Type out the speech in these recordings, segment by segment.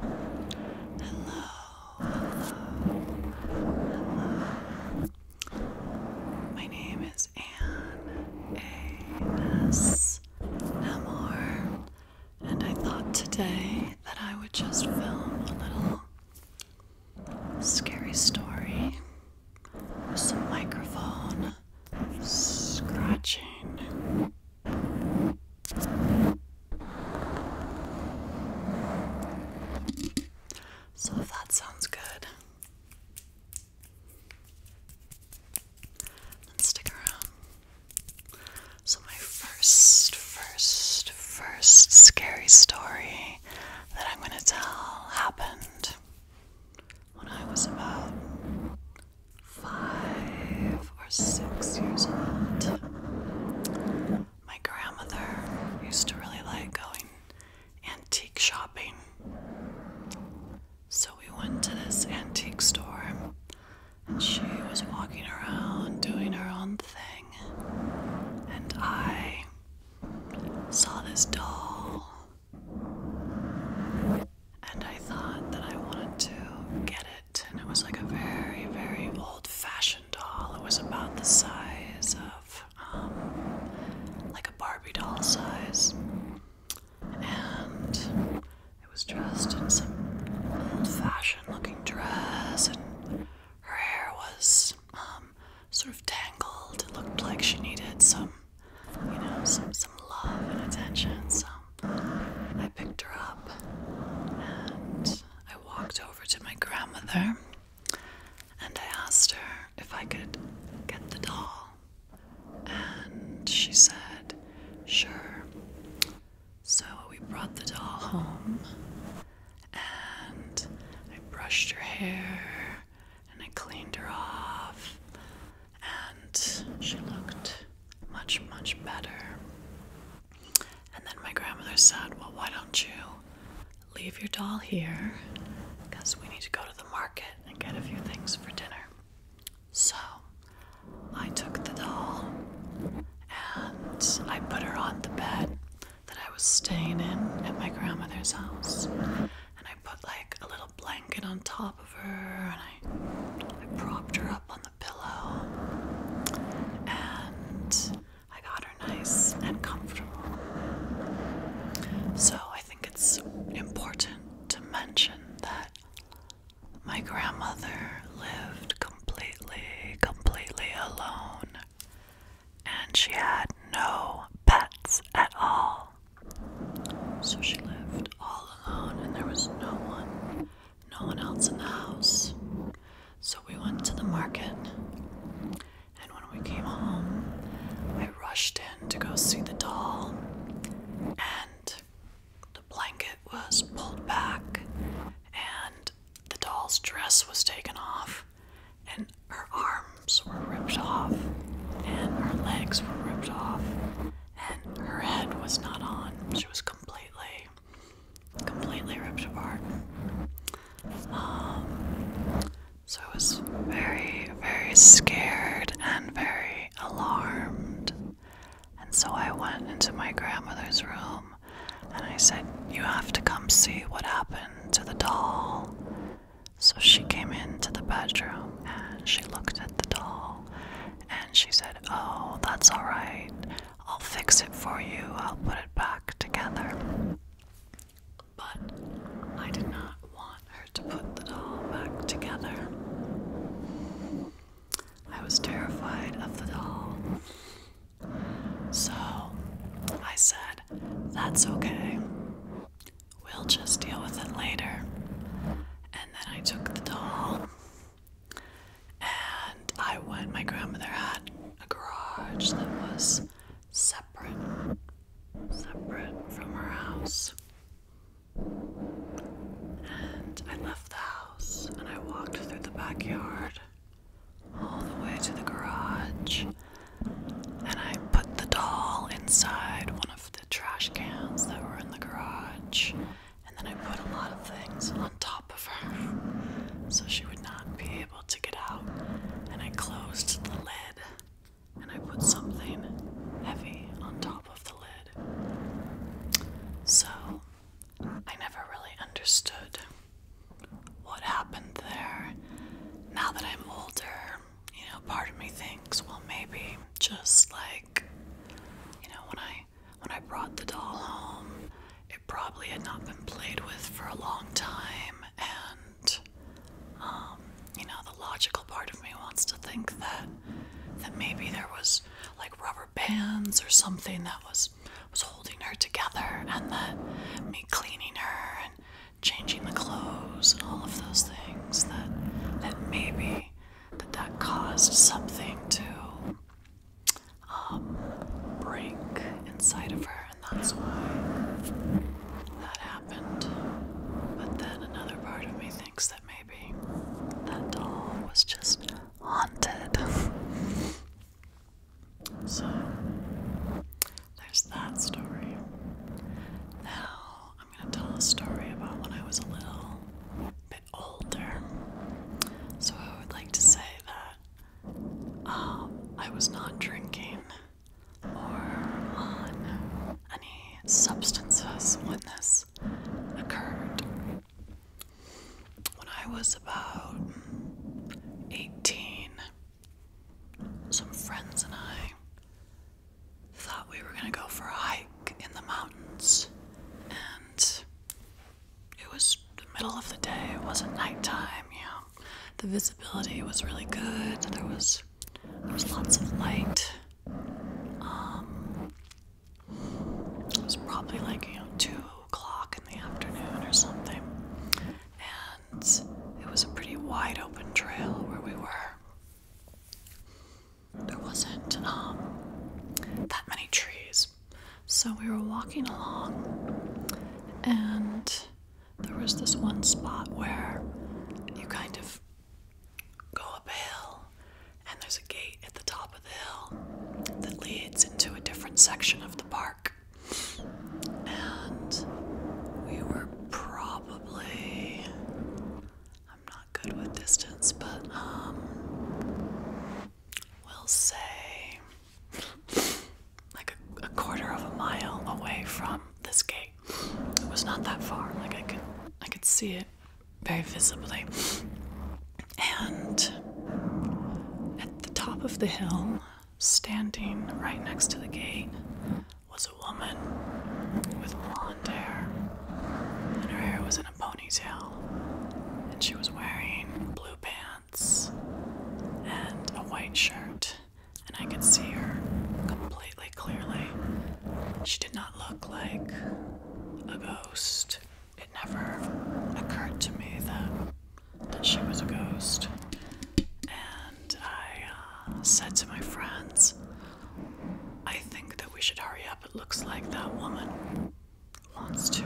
Hello, hello, My name is Anne A.S. and I thought today that I would just film a little scary story with some microphone scratching. So, if that sounds good, then stick around. So, my first, first, first scary story that I'm going to tell happened when I was about five or six years old, my grandmother used to really like going antique shopping. So we went to this antique store, and she was walking around doing her own thing, and I saw this doll. And I thought that I wanted to get it and it was like a very, very old fashioned doll. It was about the size of, um, like a Barbie doll size. And it was dressed in some old fashioned looking dress, and her hair was um, sort of tangled. It looked like she needed some, you know, some, some love and attention, some I picked her up and I walked over to my grandmother and I asked her if I could get the doll. And she said, sure. So we brought the doll home and I brushed her hair and I cleaned her off and she looked much, much better. And then my grandmother said, Well, why don't you leave your doll here? Because we need to go to the market and get a few things for dinner. So I took the doll and I put her on the bed that I was staying in at my grandmother's house. And I put like a little blanket on top and I, I propped her up on the pillow and I got her nice and comfortable. So I think it's important to mention that my grandmother lived completely, completely alone and she had no pets at all. So she left all alone and there was no one, no one else in the house. So we went to the market and when we came home, I rushed in to go see the doll and the blanket was pulled back and the doll's dress was taken off and her arms were ripped off and her legs were ripped off and her head was not on. She was completely, completely ripped apart. Um, so I was very, very scared and very alarmed. And so I went into my grandmother's room and I said, You have to come see what happened to the doll. So she came into the bedroom and she looked at the doll and she said, Oh, that's all right. I'll fix it for you. I'll put it back together. But I did not want her to put the doll back together. I was terrified of the doll. So I said, That's okay. We'll just deal with it later. And then I took the doll and I went. My grandmother had a garage that was separate, separate from her house. And I left the house and I walked through the backyard all the way to the garage. And I put the doll inside one of the the trash cans that were in the garage, and then I put a lot of things on top of her so she would not be able to get out. And I closed the lid and I put something heavy on top of the lid. So I never really understood what happened there. Now that I'm older, you know, part of me thinks, well, maybe just like you know when I when I brought the doll home, it probably had not been played with for a long time and um, you know the logical part of me wants to think that that maybe there was like rubber bands or something that was was holding her together and that me cleaning her and changing the clothes and all of those things that that maybe that that caused something to um, break inside of her, and that's why that happened. But then another part of me thinks that maybe that doll was just haunted. so there's that story. Now I'm going to tell a story about when I was a little bit older. So I would like to say that um, I was not drinking or on any substances when this occurred. When I was about 18, some friends and I thought we were going to go for a hike in the mountains. And it was the middle of the day, it wasn't nighttime, you know. The visibility was really good. There was there was lots of light. Um it was probably like, you know, two o'clock in the afternoon or something. And it was a pretty wide open trail where we were there wasn't um, that many trees. So we were walking along, and there was this one spot where you kind of go up a hill, and there's a gate at the top of the hill that leads into a different section of the park. And we were probably I'm not good with distance, but um, we'll say like a, a quarter of a mile away from this gate. It was not that far. Like I could, I could see it very visibly. And at the top of the hill, standing right next to the gate, was a woman with blonde hair, and her hair was in a ponytail, and she was wearing blue pants and a white shirt, and I could see her completely clearly. She did not look like a ghost. It never occurred to me that that she was a ghost. And I uh, said to my friends, I think that we should hurry up. It looks like that woman wants to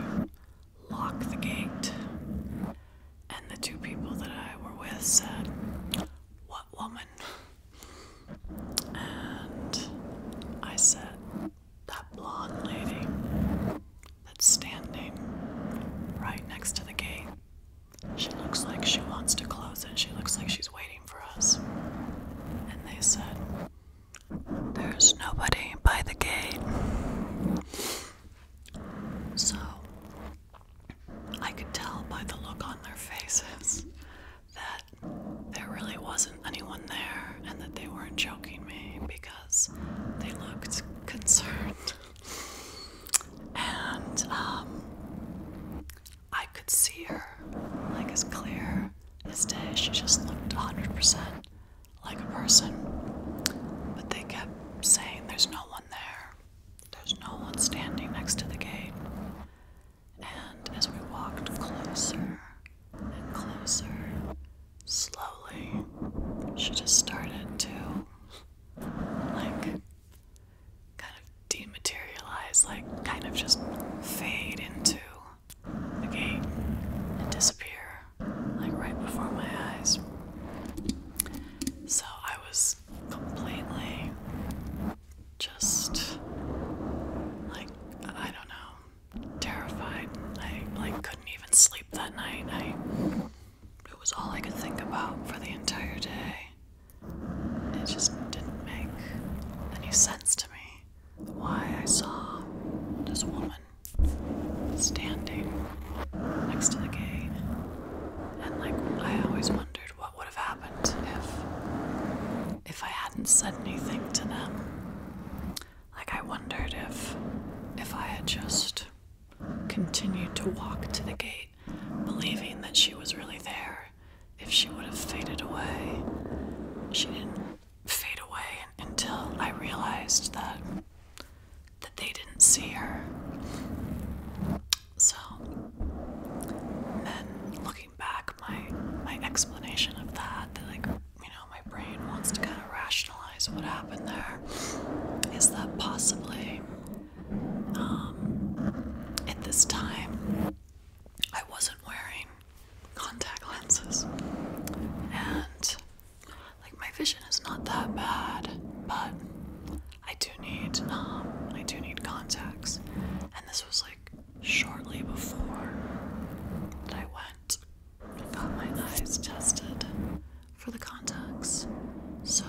lock the gate. And the two people that I were with said, What woman? And I said, That blonde lady that's standing right next to the gate. She looks like she wants to close it. She looks like she's waiting for us. And they said, There's nobody by the gate. So I could tell by the look on their faces that there really wasn't anyone there and that they weren't joking me because they looked concerned. And um, I could see her, like as clear as day. She just looked 100% like a person. But they kept saying, There's no one there. There's no one standing next to the gate. And as we walked closer and closer, slowly, she just started to, like, kind of dematerialize, like kind of just fade into the game and disappear, like right before my eyes. So I was completely just like, I don't know, terrified. I like couldn't even sleep that night. I it was all I could think about for the entire day. It just didn't make any sense to me why I saw this woman standing next to the gate. And like I always wondered what would have happened if if I hadn't said anything to them. Like I wondered if if I had just continued to walk to the gate believing that she was really there if she would have faded away. She didn't fade away until I realized that that they didn't see her. So then looking back my my explanation of that, that like you know, my brain wants to kind of rationalize what happened there is that possibly um, at this time, I wasn't wearing contact lenses, and like my vision is not that bad, but I do need um, I do need contacts, and this was like shortly before that I went and got my eyes tested for the contacts. So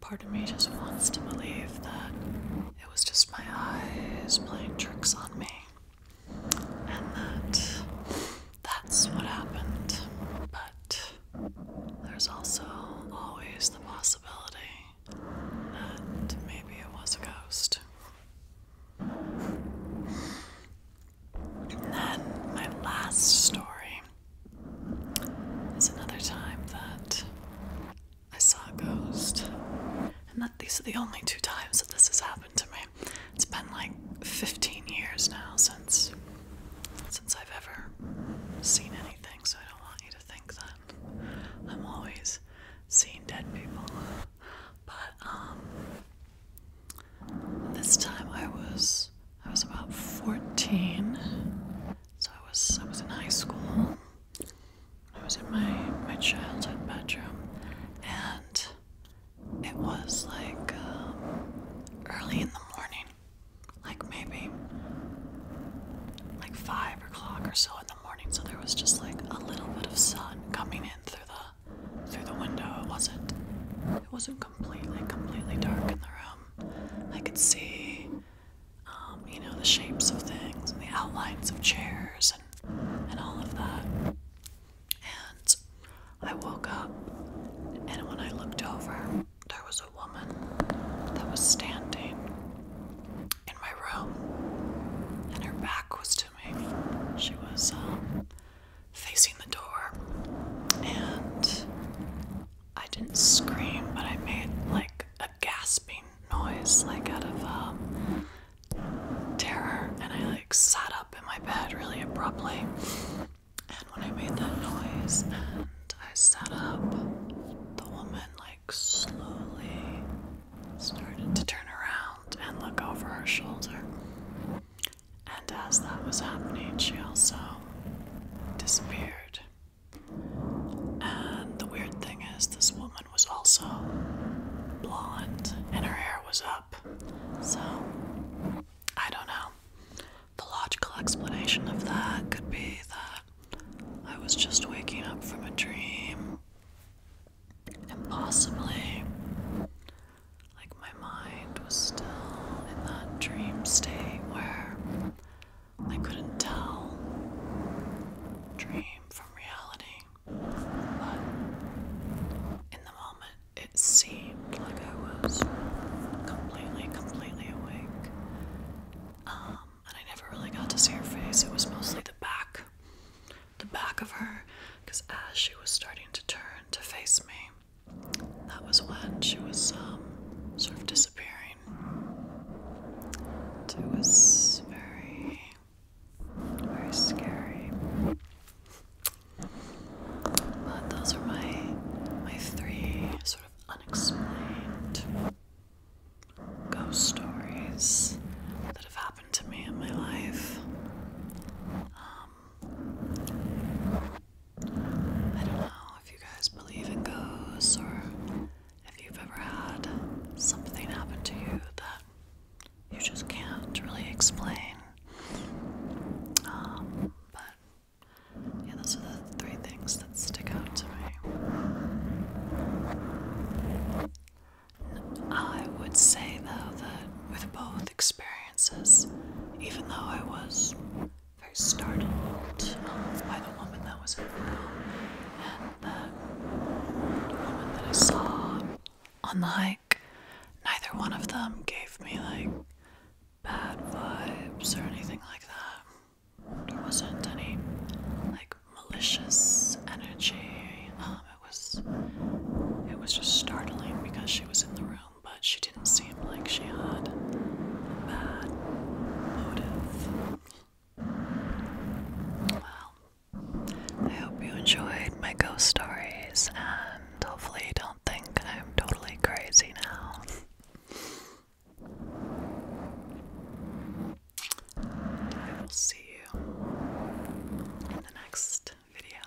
Part of me just wants to believe that it was just my eyes playing tricks on me and that that's what happened. But there's also always the possibility that maybe it was a ghost. And then my last story it's another time that I saw a ghost, and that these are the only two times that this has happened to me. It's been like 15 years now since since I've ever seen anything, so I don't want you to think that I'm always seeing dead people. But um, this time I was I was about 14 so I was I was in high school. I was in my my childhood bedroom, and it was like um, early in the morning, like maybe like five o'clock or so in the morning. So there was just like a little bit of sun coming in through the through the window. It wasn't it wasn't completely completely dark in the room. I could see, um, you know, the shapes of things and the outlines of chairs and, and all of that. And I woke up, and when I looked over, there was a woman that was standing in my room, and her back was to me. She was um, facing the door, and I didn't scream, but I made like a gasping noise, like out of um, terror, and I like sat up in my bed really abruptly. And when I made that noise and I sat up, the woman like slowly started to turn around and look over her shoulder. And as that was happening, she also disappeared. And the weird thing is, this woman was also blonde and her hair was up. So, I don't know. The logical explanation of that could be that I was just waking up from a dream and possibly. like my mind was still in that dream state where I couldn't tell dream from reality. But in the moment, it seemed like I was completely, completely awake. Um, and I never really got to see her face. It was mostly the back, the back of her, because as she was starting to turn to face me, that was when she was um, sort of disappearing. it was very, very scary. But those are my my three sort of unexplained ghost stories that have happened to me in my life. Um, I don't know if you guys believe in ghosts or if you've ever had something happen to you that you just can't really explain. Um, but yeah, those are the three things that stick out to me. I would say though that with both experiences, even though I was very startled by the woman that was in the room and the woman that I saw Unlike, Neither one of them gave me like bad vibes or anything like that. There wasn't any like malicious energy. Um, it was it was just startling because she was in the room but she didn't seem like she had a bad motive. Well, I hope you enjoyed my ghost stories and hopefully don't think I'm totally crazy now. I will see you in the next video.